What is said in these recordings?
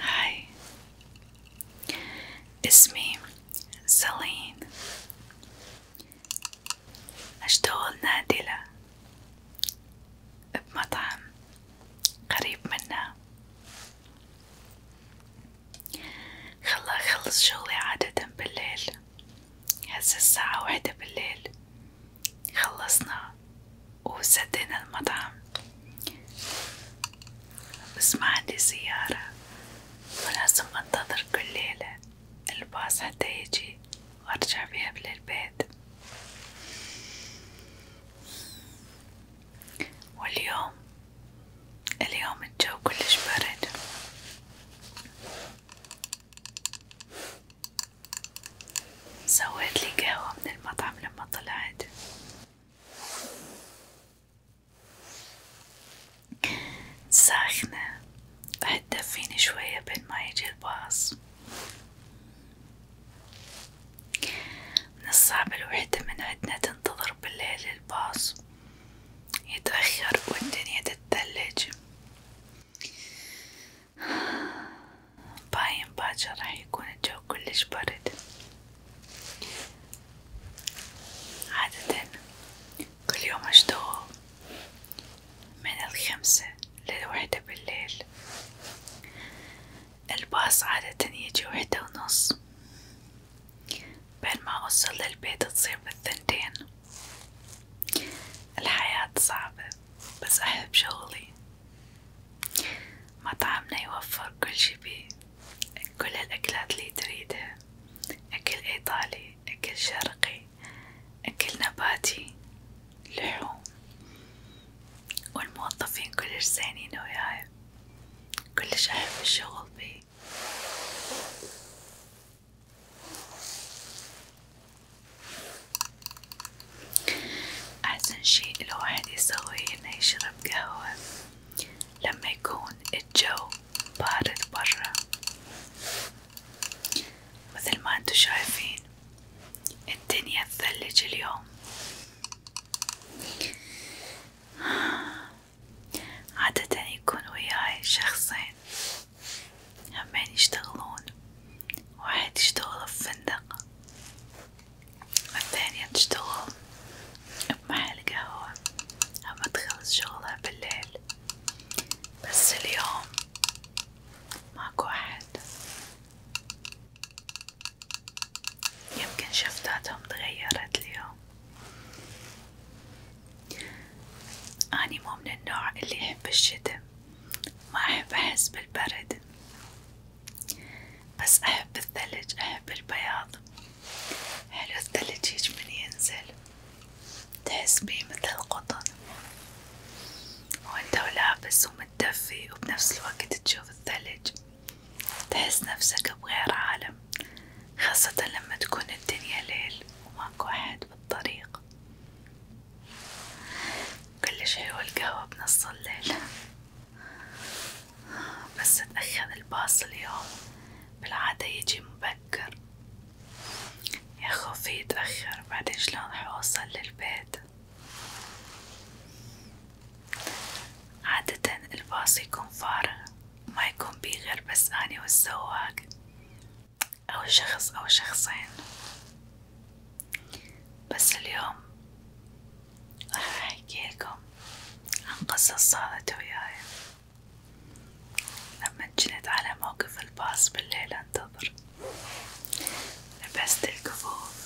هاي اسمي سلين أشتغل نادلة بمطعم قريب منا خلا أخلص شغلي عادة بالليل هسه الساعة واحدة بالليل خلصنا وسدينا المطعم بس ما عندي سيارة ولازم أنتظر كل ليلة الباص حتى يجي وأرجع بيها للبيت واليوم اليوم الجو كلش برد سويت قهوة من المطعم لما طلعت ساخنة راح تدفيني شوية بين ما يجي الباص من الصعب الوحدة من عندنا تنتظر بالليل الباص يتأخر والدنيا تتلج باين باجر راح يكون الجو كلش برد عادة كل يوم أشتغل من الخمسة للوحدة بالليل الباص عادة يجي وحدة ونص بينما أوصل للبيت تصير بالثنتين الحياة صعبة بس أحب شغلي مطعمنا يوفر كل شي بيه كل الأكلات اللي تريدها أكل إيطالي أكل شرقي أكل نباتي لحوم والموظفين كلش زينين وياي كلش أحب الشغل بيه أحسن شيء الواحد يسويه إنه يشرب قهوة لما يكون الجو بارد برا مثل ما انتو شايفين الدنيا تثلج اليوم عادة يكون وياي شخصين همين يشتغلون واحد يشتغل بفندق والثانية تشتغل بمحل قهوة أما تخلص شغلها بالليل بس اليوم ماكو أحد يمكن شفتاتهم تغيرت اليوم أني مو من النوع اللي يحب الشتا، ما أحب أحس بالبرد، بس أحب الثلج، أحب البياض، حلو الثلج هيج من ينزل، تحس بيه مثل القطن، وأنت ولابس ومتدفي وبنفس الوقت تشوف الثلج، تحس نفسك بغير عالم، خاصة لما تكون الدنيا ليل وماكو أحد. واحد بالطريق كلش حلوة القهوة بنص الليل بس اتأخر الباص اليوم بالعادة يجي مبكر يا خوفي يتأخر بعدين شلون راح أوصل للبيت عادة الباص يكون فارغ ما يكون بيه غير بس أني والسواق أو شخص أو شخصين بس اليوم راح أحكي لكم عن قصة صارت وياي لما جنت على موقف الباص بالليل أنتظر لبست الكفوف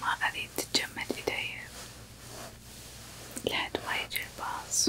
ما أريد تجمد إيدي لحد ما يجي الباص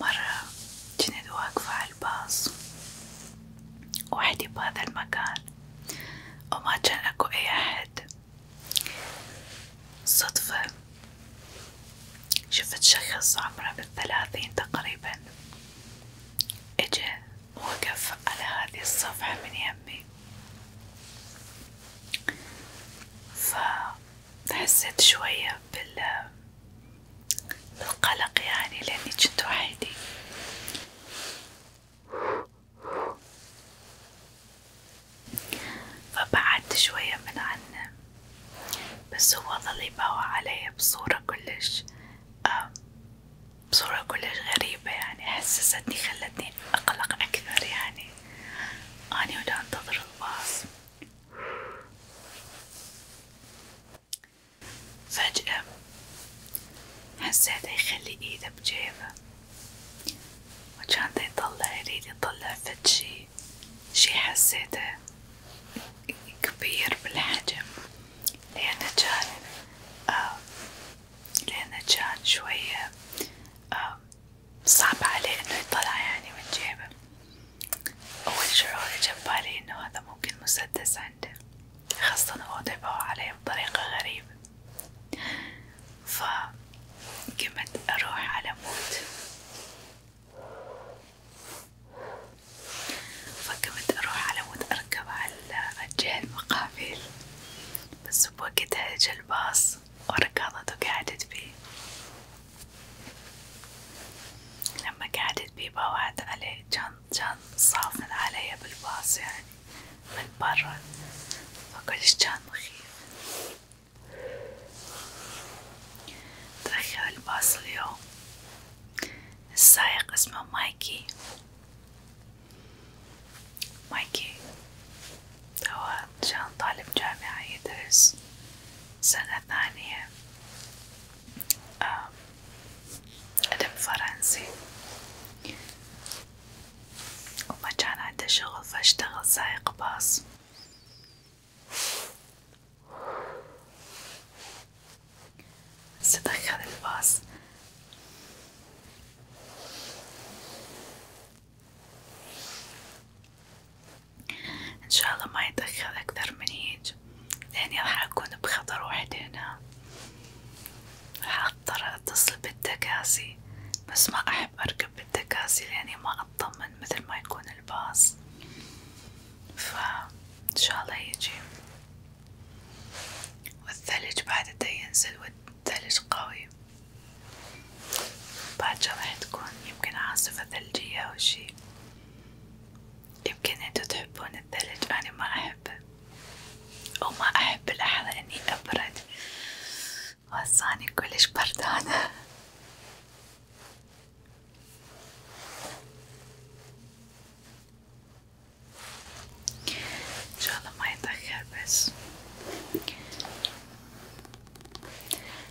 مرة جند واقفة على الباص وحدي بهذا المكان وما كان أكو أي أحد صدفة شفت شخص عمره بالثلاثين تقريبا اجا وقف على هذه الصفحة من يمي فحسيت شوية بال القلق يعني لأني كنت وحيدي فبعدت شوية من عنه بس هو ظل يباوع علي بصورة كلش آه، بصورة كلش غريبة يعني حسستني خلتني أقلق أكثر يعني أني ودا أنتظر الباص فجأة حسيت يخلي ايده بجيبه وكان دا يطلع يريد يطلع فد شي شي حسيته كبير بالحجم لأنه كان آه لأنه كان شوية آه صعب عليه إنه يطلع يعني من جيبه أول شعور جا ببالي إنه هذا ممكن مسدس عنده، خاصة هو طبعه عليه بطريقة غريبة، فقمت أروح على موت، فقمت أروح على موت أركب على الجهة المقابل، بس بوقتها جا الباص وركضت وقعدت فيه، لما قعدت بيبا وعد علي كان كان صافن علي بالباص يعني من برا فكلش كان مخيف تأخر الباص اليوم السايق اسمه مايكي مايكي هو كان طالب جامعة يدرس سنة ثانية آه، أدب فرنسي وما شغل فاشتغل سائق باص استدخل الباص إن شاء الله ما يدخل أكثر من هيج الزواج لأني يعني راح أكون بخطر وحدي هنا راح أضطر أتصل بالتكاسي بس ما أحب أركب بالتكاسي لأني ما أطمن مثل ما يكون الباص فإن شاء الله يجي والثلج بعد دا ينزل والثلج قوي باجر راح تكون يمكن عاصفة ثلجية أو شي يمكن انتو تحبون الثلج أنا ما أحبه وما أحب الأحلى إني أبرد وصاني كلش بردانة إن شاء الله ما يتأخر بس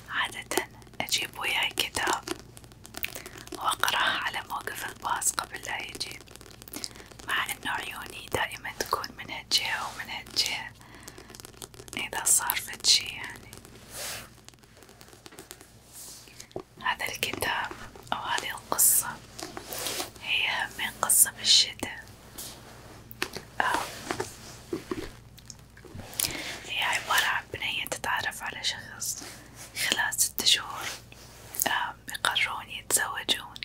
عادة أجيب وياي كتاب وأقراها على موقف الباص قبل لا يجي مع أنه عيوني دائما تكون من هالجهة ومن هالجهة إذا صار فد شي يعني هذا الكتاب أو هذه القصة هي من قصة بالشتاء هي عبارة عن بنية تتعرف على شخص خلال ست شهور يقررون يتزوجون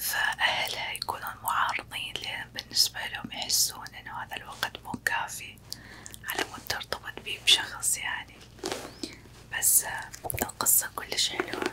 فأهلها يكونون معارضين لأن بالنسبة لهم يحسون إنه هذا الوقت مو كافي على مود ترتبط بيه بشخص يعني بس القصة كلش حلوة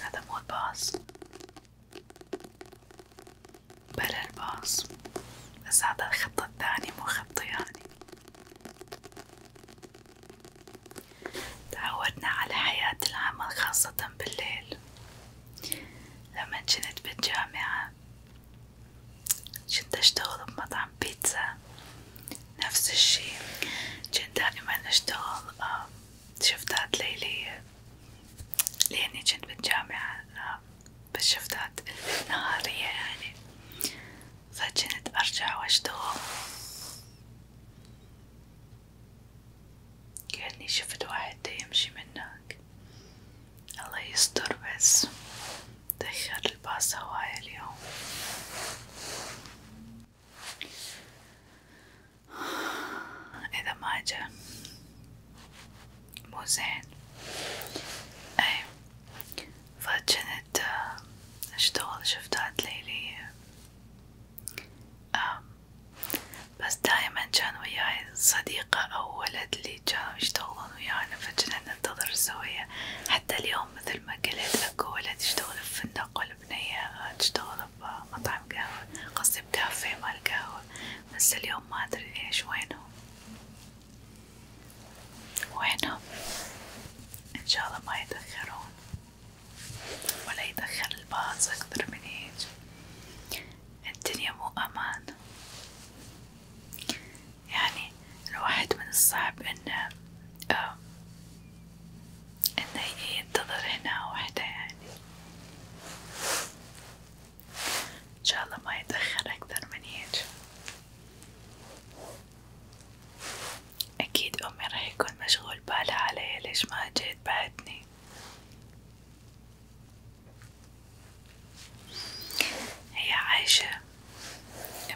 هذا مو باص بلا الباص بس هذا الخط الثاني مو خط يعني تعودنا على حياة العمل خاصة بالليل لما كنت بالجامعة كنت أشتغل بمطعم بيتزا نفس الشي كنت دائما أشتغل آه، شفتات ليلية لأني كنت بالجامعة آه، بالشفتات نهارية يعني فكنت أرجع وأشتغل كأني شفت واحد يمشي من هناك الله يستر بس تأخر الباص هواية اليوم إذا ما جا مو زين أي فجنت أشتغل آه، شفتات ليلية بس دايما كان وياي صديقة أو ولد اللي كانوا يشتغلون تكون يعني ويانا فجأة ننتظر سوية حتى اليوم مثل ما قلت اكو ولا تشتغل بفندق ولا بنية تشتغل بمطعم قهوة قصدي بكافيه مال قهوة بس اليوم ما ادري ايش وينهم وينهم ان شاء الله ما يتأخرون ولا يتأخر الباص اكثر من هيج الدنيا مو امان يعني الواحد من الصعب إنه آه، إنه ينتظر هنا وحده يعني إن شاء الله ما يتأخر أكثر من هيك أكيد أمي راح يكون مشغول بالها علي ليش ما جيت بعدني هي عايشة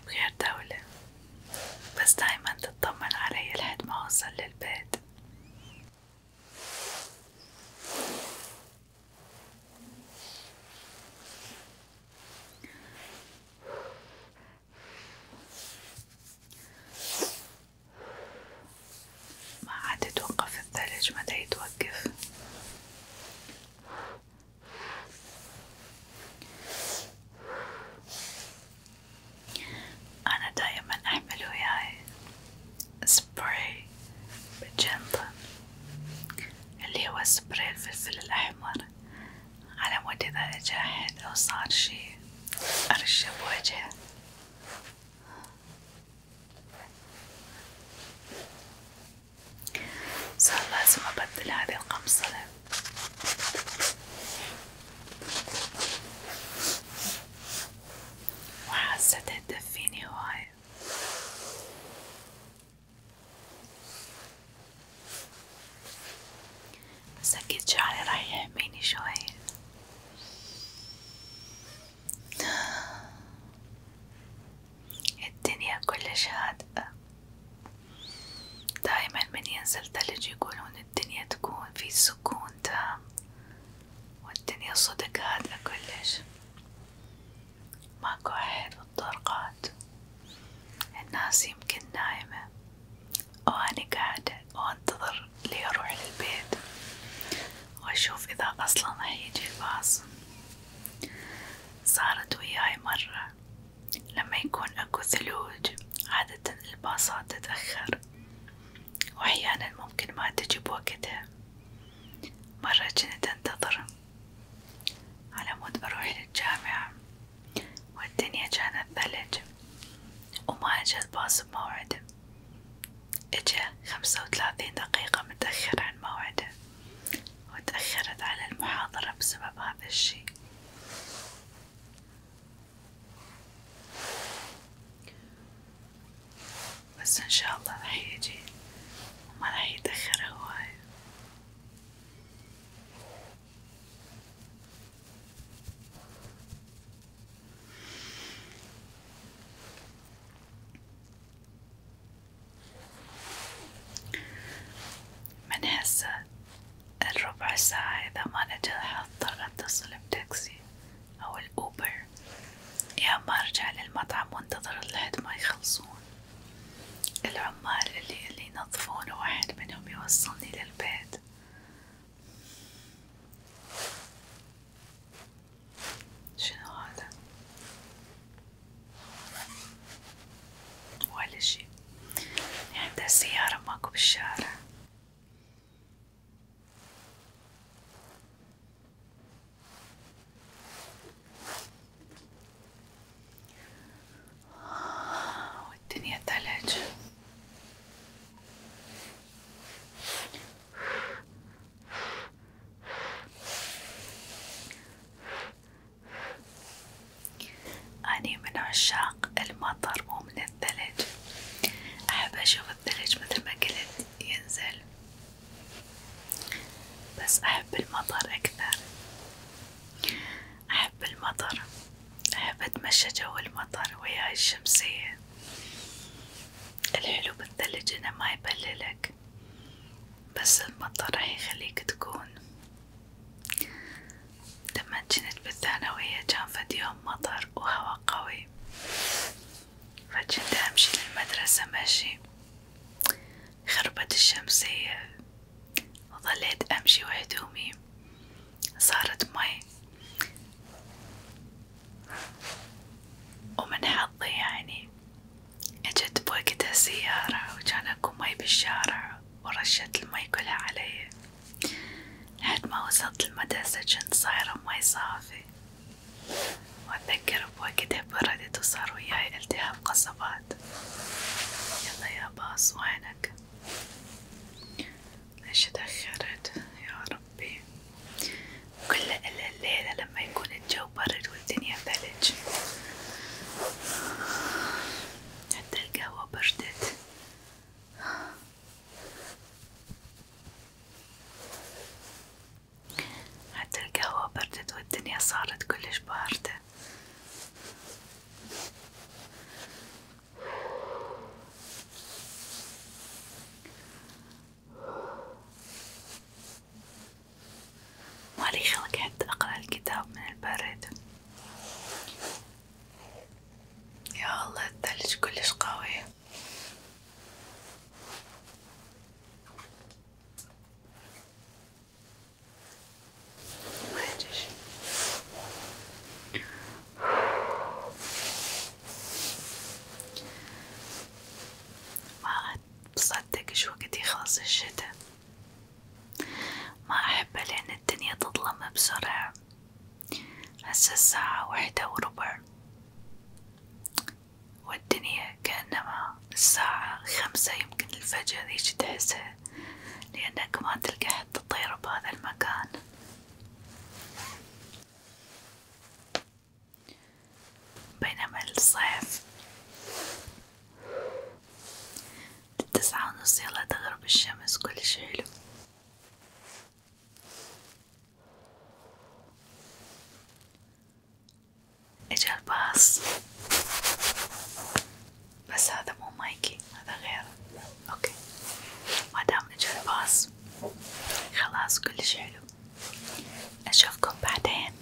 بغير دولة بس دايما تطمن علي لحد ما أوصل للبيت ما عاد يتوقف الثلج متى يتوقف أنا دايما أحمل وياي سبراي بجنطة اللي هو سبراي الفلفل الأحمر على مود إذا أجا أحد أو صار شي أرشه بوجهه صار لازم أبدل هذه القمصلة وحاسة تهدف فيني هواية بس أكيد شعري راح يحميني شوية الدنيا كلش هادئة دايما من ينزل ثلج يقولون الدنيا تكون في سكون تام والدنيا صدق هادئة كلش ماكو أحد بالطرقات الناس يمكن نايمة واني قاعدة وأنتظر لي أروح للبيت وأشوف إذا أصلا راح يجي الباص صارت وياي مرة لما يكون أكو ثلوج عادة الباصات تتأخر وأحيانا ممكن ما تجي بوقتها مرة كنت أنتظر على مود أروح للجامعة والدنيا كانت ثلج وما أجا الباص بموعده أجا خمسة وثلاثين دقيقة متأخر عن موعده وتأخرت على المحاضرة بسبب هذا الشي بس إن شاء الله راح يجي وما راح يتأخر هواي من هسه الربع ساعة إذا ما نجا حضطر أتصل بتاكسي أو الأوبر يا ما أرجع للمطعم وانتظر لحد ما يخلصون العمال اللي اللي ينظفون واحد منهم يوصلني للبيت شنو هذا ولا شي عندها يعني سيارة ماكو بالشارع والدنيا ثلج أني من عشاق المطر ومن الثلج، أحب أشوف الثلج مثل ما قلت ينزل، بس أحب المطر أكثر، أحب المطر، أحب أتمشى جو المطر ويا الشمسية، الحلو بالثلج إنه ما يبللك، بس المطر راح يخليك تكون لما جنت بالثانوية كان فد يوم مطر وهواء قوي فجنت أمشي للمدرسة مشي خربت الشمسية وظليت أمشي وهدومي صارت مي ومن حظي يعني اجت بوقتها سيارة وجان اكو مي بالشارع ورشت المي كلها علي لحد ما وصلت المدرسة جنت صايرة مي صافي واتذكر بوقتها بردت وصار وياي التهاب قصبات يلا يا باص وينك ليش تأخرت يا ربي كل إلا الليلة لما يكون الجو برد والدنيا ثلج حتى القهوة بردت حتى القهوة بردت والدنيا صارت كلش باردة مالي خلق حتى أقرأ الكتاب من البرد يا الله الثلج كلش قوي ما يجيش ما بصدق شو يخلص الشتاء ما أحبه لأن الدنيا تظلم بسرعة، هسه الساعة واحدة وربع، والدنيا كأنما الساعة خمسة يمكن الفجر هيج تحسها، لأنك ما تلقى حتى طير بهذا المكان. بينما الصيف للتسعة ونص يلا تغرب الشمس كل شي حلو اجا الباص بس هذا مو مايكي هذا غيره اوكي مادام اجا الباص خلاص كل شي حلو اشوفكم بعدين